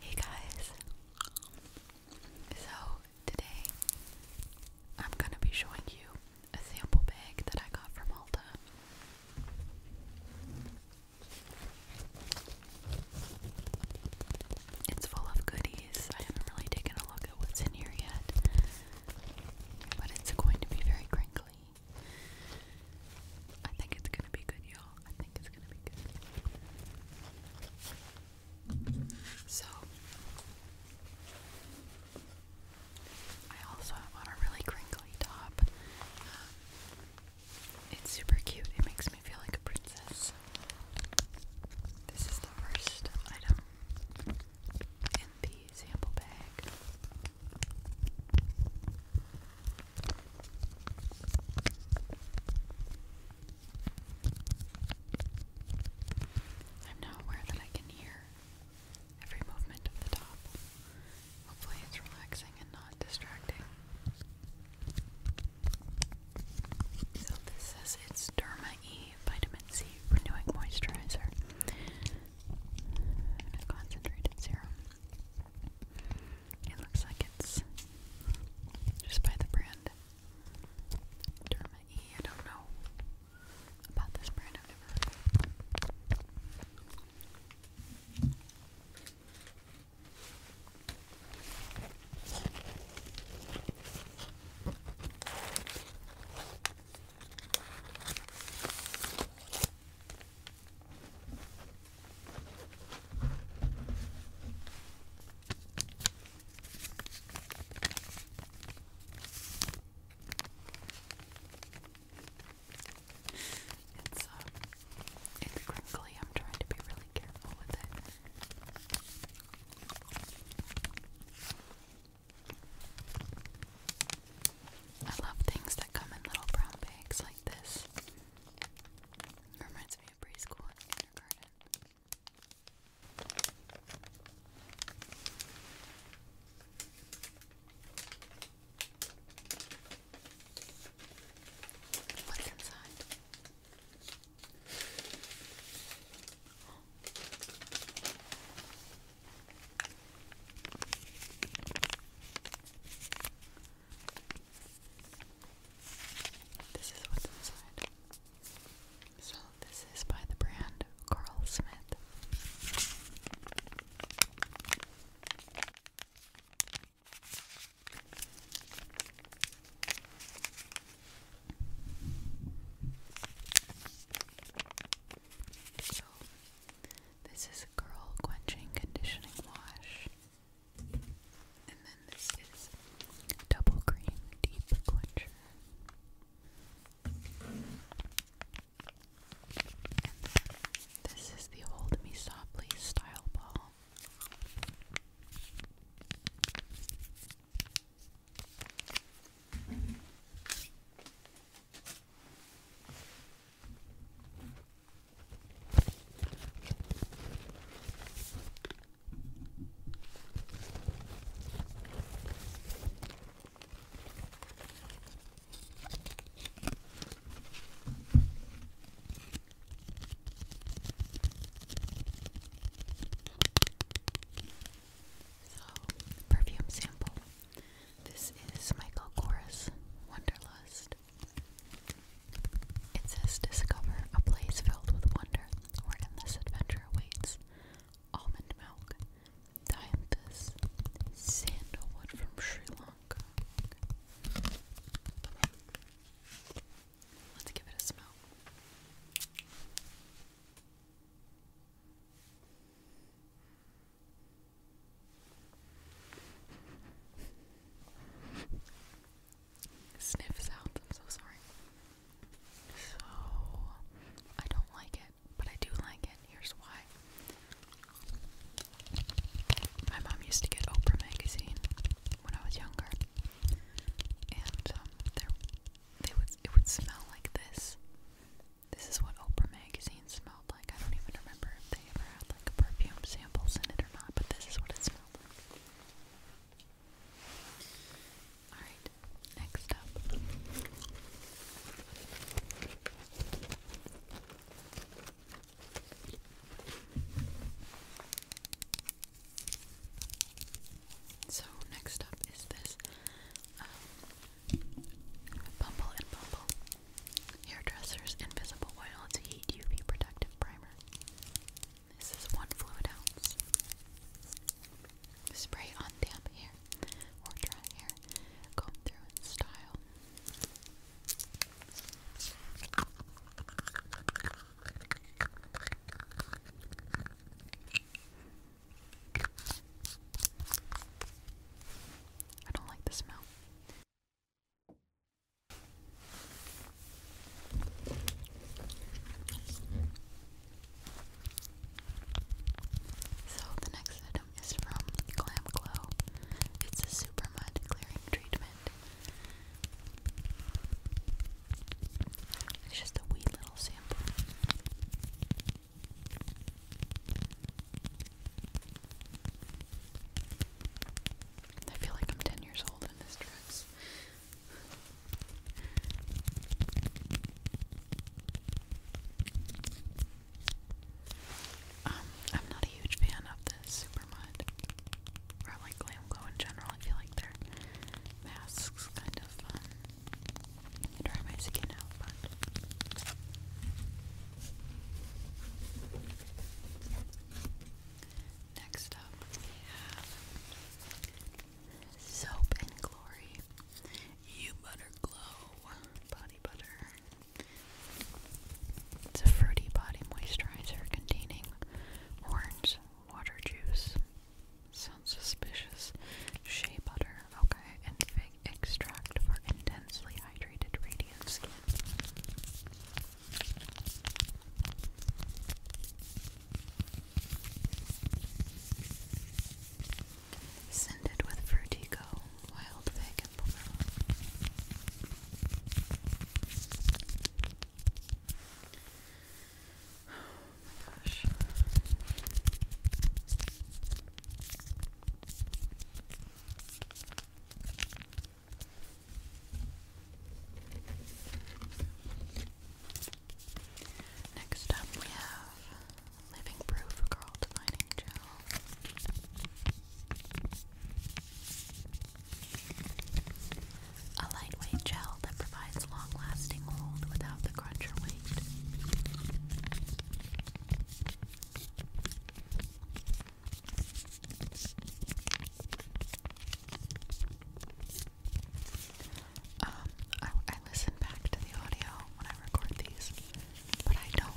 Hey guys! So, today I'm gonna be showing you a sample bag that I got from Malta. It's full of goodies. I haven't really taken a look at what's in here yet, but it's going to be very crinkly. I think it's gonna be good, y'all. I think it's it's So, I also am on a really crinkly top. Um, it's super cute. It makes me feel like a princess. This is the first item in the sample bag. I'm now aware that I can hear every movement of the top. Hopefully, it's relaxing and not distracting. So, this says it's Derma E Vitamin C Renewing Moisturizer. Concentrated serum. It looks like it's just by the brand Derma E. I don't know about this brand. I've never heard it's um, it's crinkly. I'm trying to be really careful with it. I love things that come in little brown bags like this. It reminds me of preschool and kindergarten. Look inside. This is what's inside. So, this is by the brand Carl Smith. So, this is a quenching conditioning wash. And then this is Double Cream Deep Quencher. And then this is the old Me Softly Style Ball. So, perfume sample. This is Michael Kors Wonderlust. It says discover a place filled with wonder where endless adventure awaits. Almond milk, dianthus, sandalwood from Sri Lanka. Let's give it a smell. Sniff sounds, I'm so sorry. So, I don't like it, but I do like it. Here's why. My mom used to get Oprah magazine when I was younger, and um, they would it would smell like this. This is what Oprah magazine smells like. I don't even remember if they ever had like perfume samples in it or not, but this is what it smelled like. Alright, next up. So, next up is this um, Bumble and Bumble Hairdresser's Invisible Oil to Heat UV Protective Primer. This is one fluid ounce. Spray on damp hair or dry hair. Comb through in style. I don't like the smell. So the next item is from Glam Glow. It's a super mud clearing treatment. It's just a wee little sample. I feel like I'm 10 years old in this dress. Um, I'm not a huge fan of the Supermud or like Glamco in general. I feel like their masks kind of um, dry my skin out, but Next up, we have Soap and Glory You Glow Body Butter. It's a fruity body moisturizer containing orange water juice. Sounds suspicious. Shea butter, okay, and fig extract for intensely hydrated radiant skin. Scented with Vertigo, wild fig, Oh my gosh. Next up, we have Living Proof Girl Defining Gel. A lightweight gel that provides long lasting hold without the crunch or weight. Um, I, I listen back to the audio when I record these, but I don't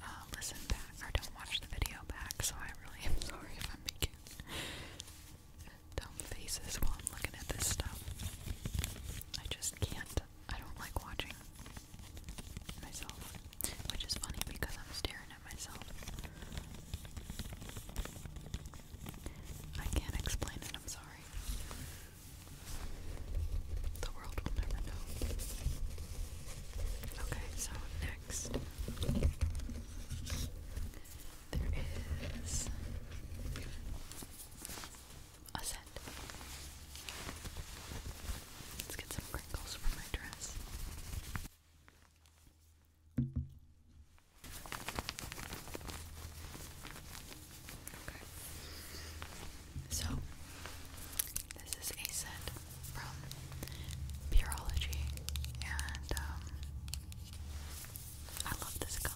uh, listen back or don't watch the video back, so I really am sorry if I'm making dumb faces while I'm looking at this stuff. I just can't. I don't like watching myself. Which is funny because I'm staring at myself. I can't explain it, I'm sorry. The world will never know. Okay, so next there is a scent. Let's get some wrinkles for my dress. So, this is a set from Purology, and um, I love this color.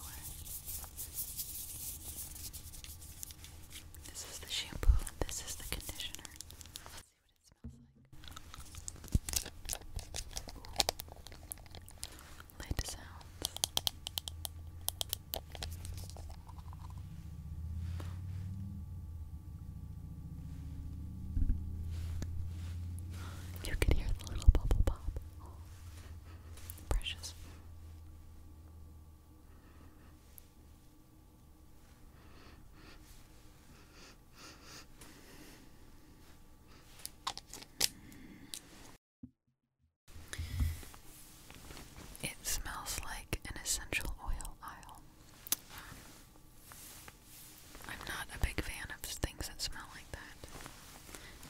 This is the shampoo and this is the conditioner. let sounds. You can hear the little bubble pop. precious. It smells like an essential oil aisle. I'm not a big fan of things that smell like that.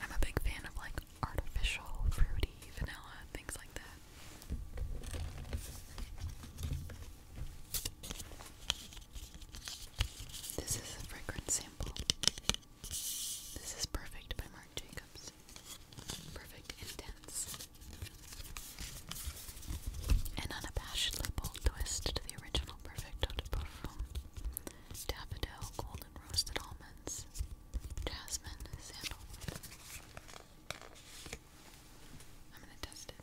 I'm a big fan of like artificial, fruity, vanilla, things like that. This is a fragrance sample. This is perfect by Marc Jacobs. Perfect, intense, and unabashedly bold twist to the original perfect eau de parfum. Daffodil, golden roasted almonds, jasmine, sandalwood. I'm gonna test it.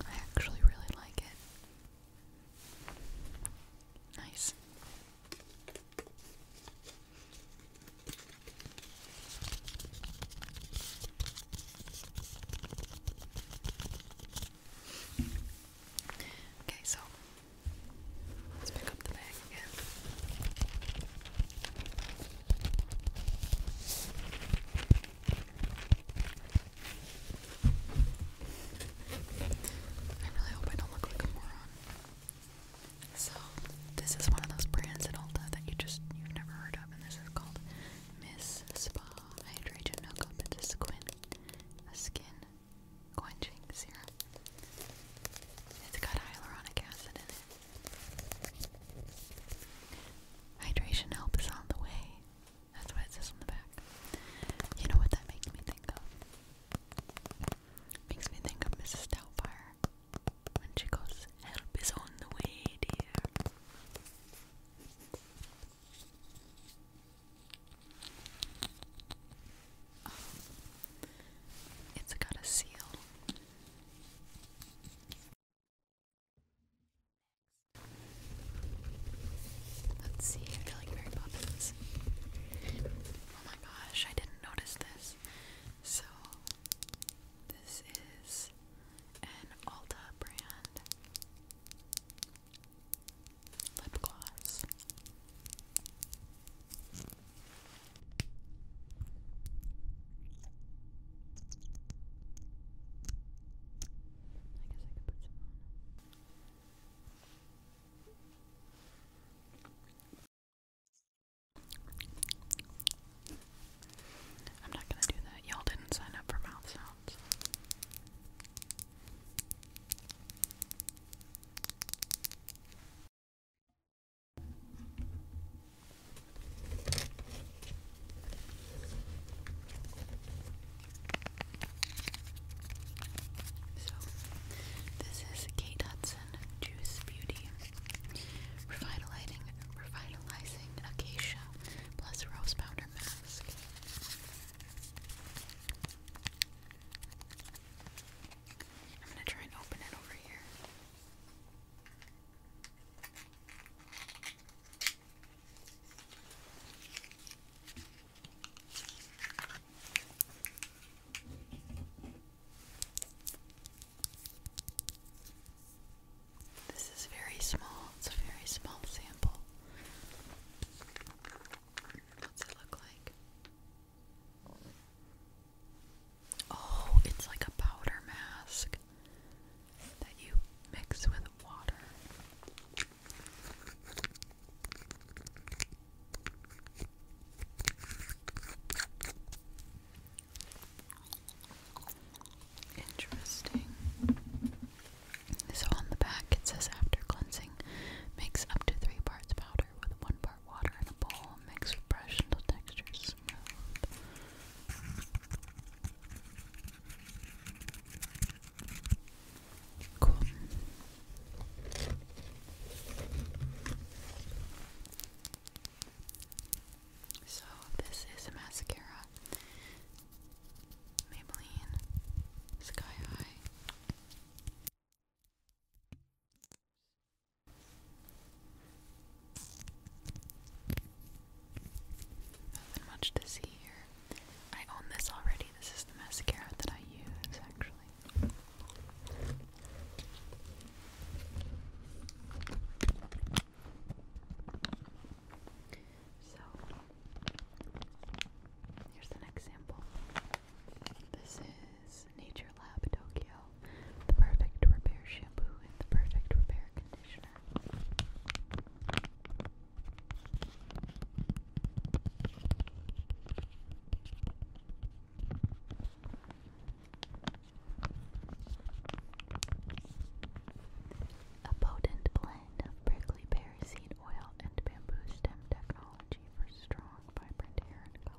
I actually really like it. Nice. Okay, so let's pick up the bag again. I really hope I don't look like a moron. So, this is one of those brands at Ulta that you just, you've never heard of, and this is called Miss Spa Hydration Hookup. It's a squid a skin quenching serum. It's got hyaluronic acid in it. Hydration help is on the way. That's why it says on the back. You know what that makes me think of? Makes me think of Mrs. Doubtfire when she goes, "Help is on the way, dear." Oh. It's got a seal. Let's see, I feel like Mary Poppins. Oh my gosh, I didn't notice this. So, this is an Alta brand lip gloss. I guess I could put some on. I'm not gonna do that. Y'all didn't sign up for mouth so, this is Kate Hudson Juice Beauty Revitalizing, revitalizing Acacia plus Rose Powder Mask. I'm going to try and open it over here. This is very small, it's a very small sample. What's it look like? Oh, it's like a powder mask that you mix with water. Interesting. So on the back it says after cleansing, mix up to three parts powder with one part water in a bowl. Mix with brush until texture smooth. Cool. So this is a mascara. Maybelline Sky High. Nothing much to see here. I own this already. This is the mascara that I use actually. So here's the next sample. This is Nature Lab Tokyo, the perfect repair shampoo and the perfect repair conditioner. A potent blend blend prickly pear seed oil and bamboo stem technology for strong, vibrant hair and color.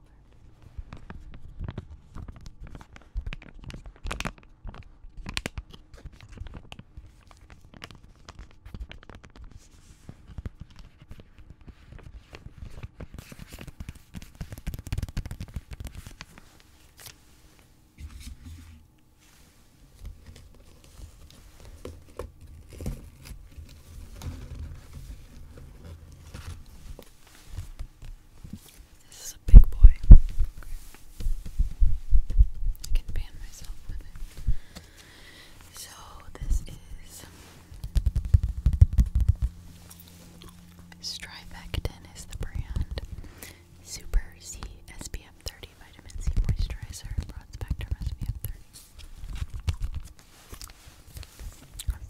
This is a big boy. I can ban myself with it. So this is Strivectin is the brand. Super C SPF 30. Vitamin C moisturizer. Broad spectrum SPF 30.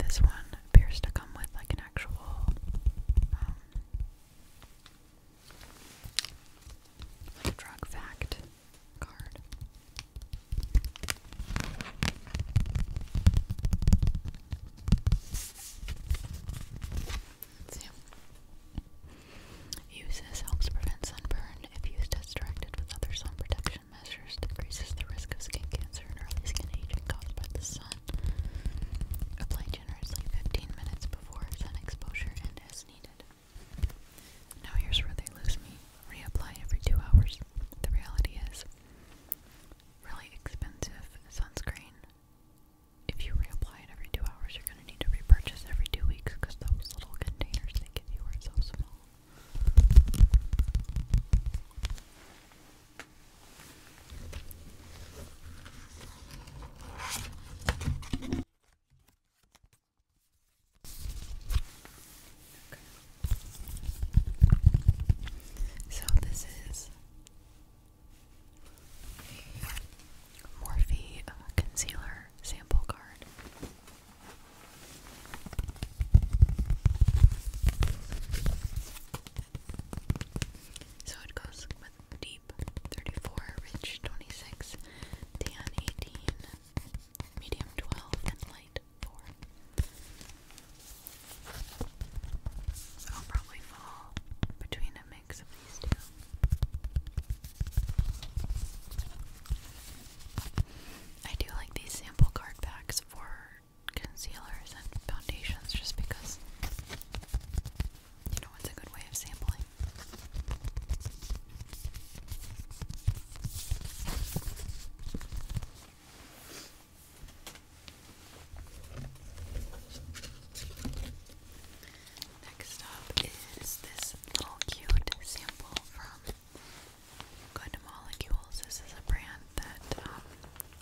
This one appears to come with like an actual um, drug fact card. Let's see. Uses helps prevent sunburn. If used as directed with other sun protection measures, decreases the risk of skin cancer and early skin aging caused by the sun. Apply generously 15 minutes before sun exposure and as needed. Now here's where they lose me. Reapply every two hours. The reality is really expensive sunscreen if you reapply it every two hours, you're going to need to repurchase every two weeks because those little containers they give you are so small. Okay. So this is Morphe uh, concealer sample card. So it goes deep 34, rich 26, tan 18, medium 12, and light 4. So I'll probably fall between a I do like these sample card packs for concealers and foundations just because you know it's a good way of sampling. Next up is this little cute sample from Good Molecules. This is a brand that um,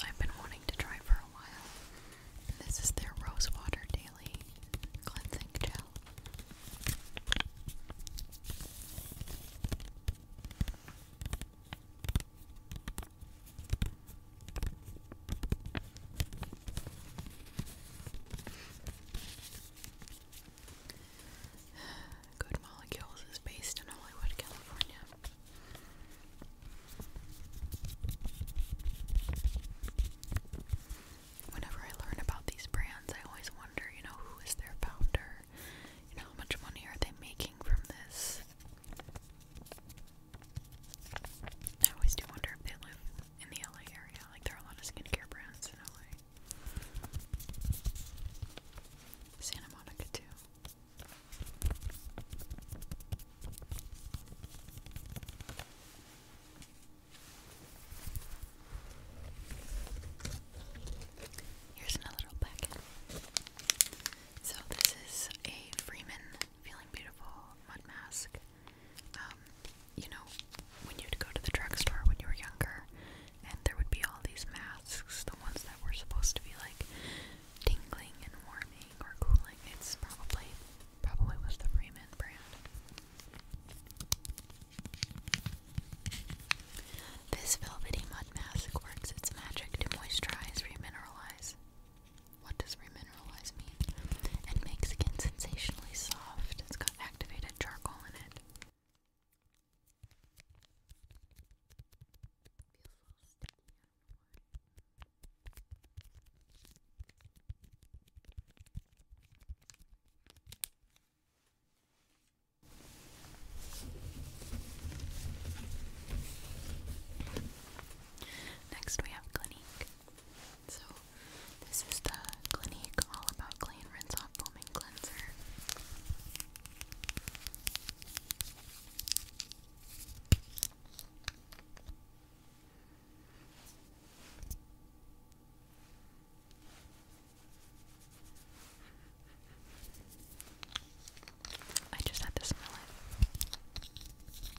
I've been wanting to try for a while. this is their Rose Water Daily Cleansing Gel. Good Molecules is based in Hollywood, California. Whenever I learn about these brands, I always wonder, you know, who is their founder? You know, how much money are they making from this? I always do wonder if they live in the LA area. Like, there are a lot of skincare brands in LA. Santa Monica, too. Here's another little packet. So, this is a Freeman Feeling Beautiful, Mud Mask. Um, you know, when you'd go to the drugstore when you were younger, and there would be all these masks, the ones that were supposed to be like tingling and warming or cooling. It's probably probably was the Freeman brand. This velvety mud mask works its magic to moisturize, remineralize, what does remineralize mean? And makes skin sensationally soft. It's got activated charcoal in it. Next we have Clinique. So this is the Clinique All About Clean Rinse Foaming Cleanser. I just had this in my it.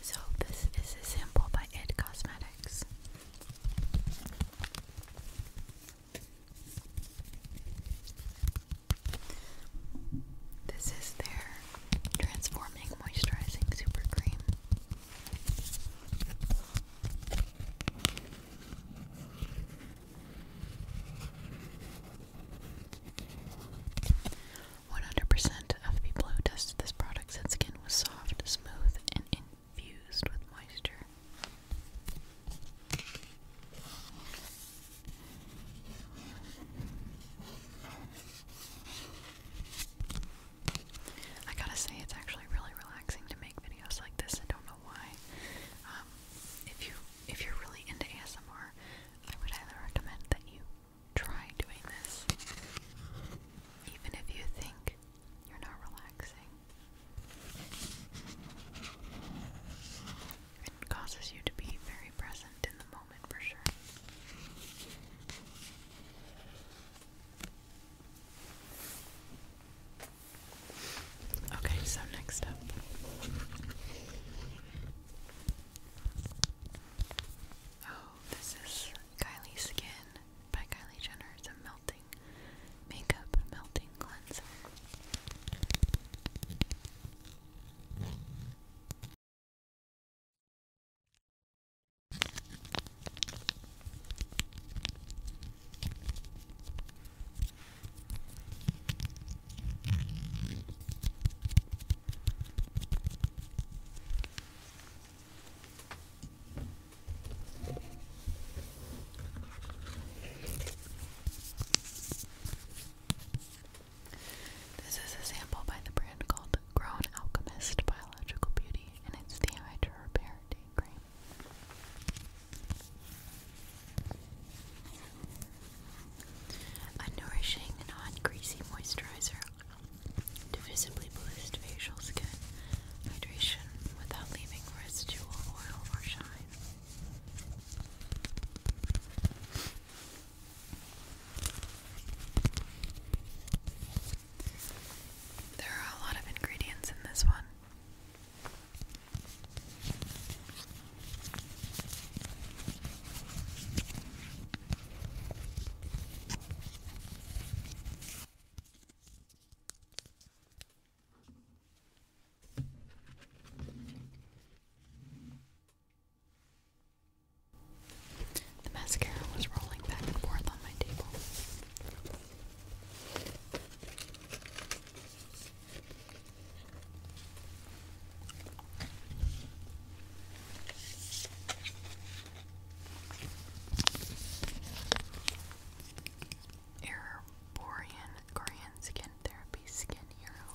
So this is a sample by Ed Cosmetics. This is their transforming moisturizing super cream. 100% of people who tested this product said skin was soft, smooth, and infused with moisture. I gotta say, it's actually really relaxing to make videos like this. I don't know why. Um, if you if you're really into ASMR, I would highly recommend that you Try doing this, even if you think you're not relaxing. It causes you to be very present in the moment for sure. Okay, so next up. Oh, this is Kylie Skin by Kylie Jenner. It's a melting makeup melting cleanser. This is a sample by the brand called Grown Alchemist Biological Beauty, and it's the Hydra Cream. A nourishing, non greasy moisturizer to visibly boost facial skin hydration without leaving residual oil or shine. There are a lot of ingredients in this one. The mascara was rolling back and forth on my table. Erborian Korean Skin Therapy Skin Hero.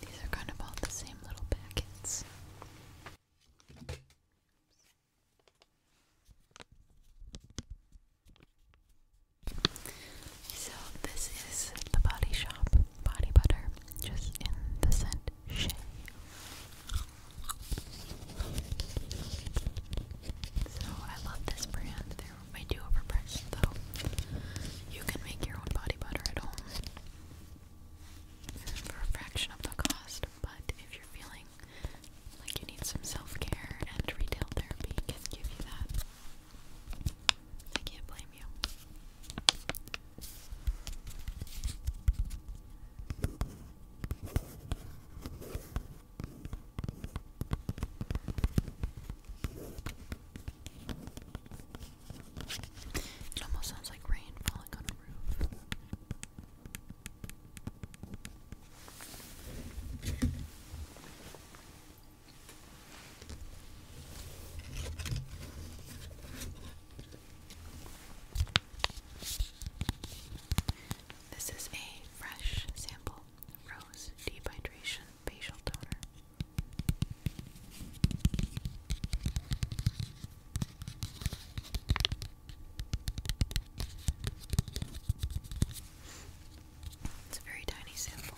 These are kind of all the same. So this is the Body Shop body butter, just in the scent Shea. So I love this brand. They're way too overpriced though. You can make your own body butter at home for a fraction of the cost, but if you're feeling like you need some self-care and retail therapy can give you that. I can't blame you. It almost sounds like rain falling on a roof. This is a fresh sample rose dehydration facial toner. It's a very tiny sample.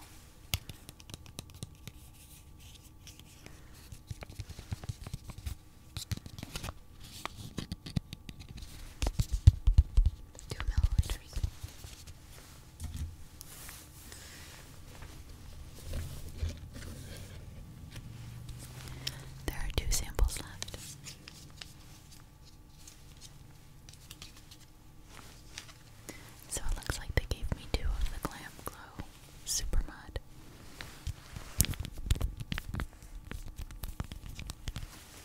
Two milliliters. There are two samples left. So it looks like they gave me two of the Glam Glow Super Mud.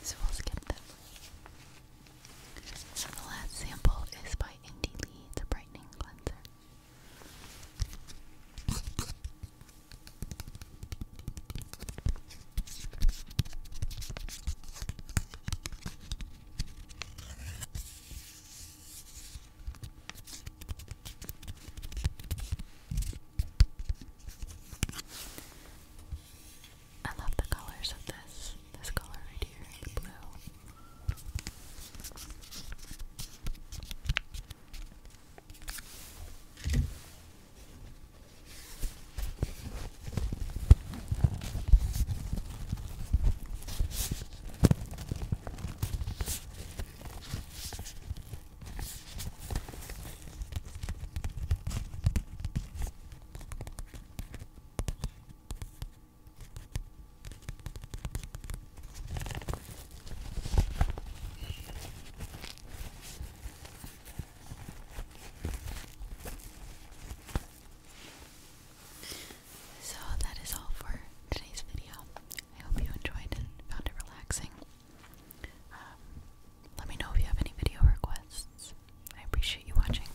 So we'll skip them. So the last sample is by Indie Lee, the Brightening Cleanser. I love the colors of this this color right here, blue. So that is all for today's video. I hope you enjoyed and found it relaxing. Um, let me know if you have any video requests. I appreciate you watching.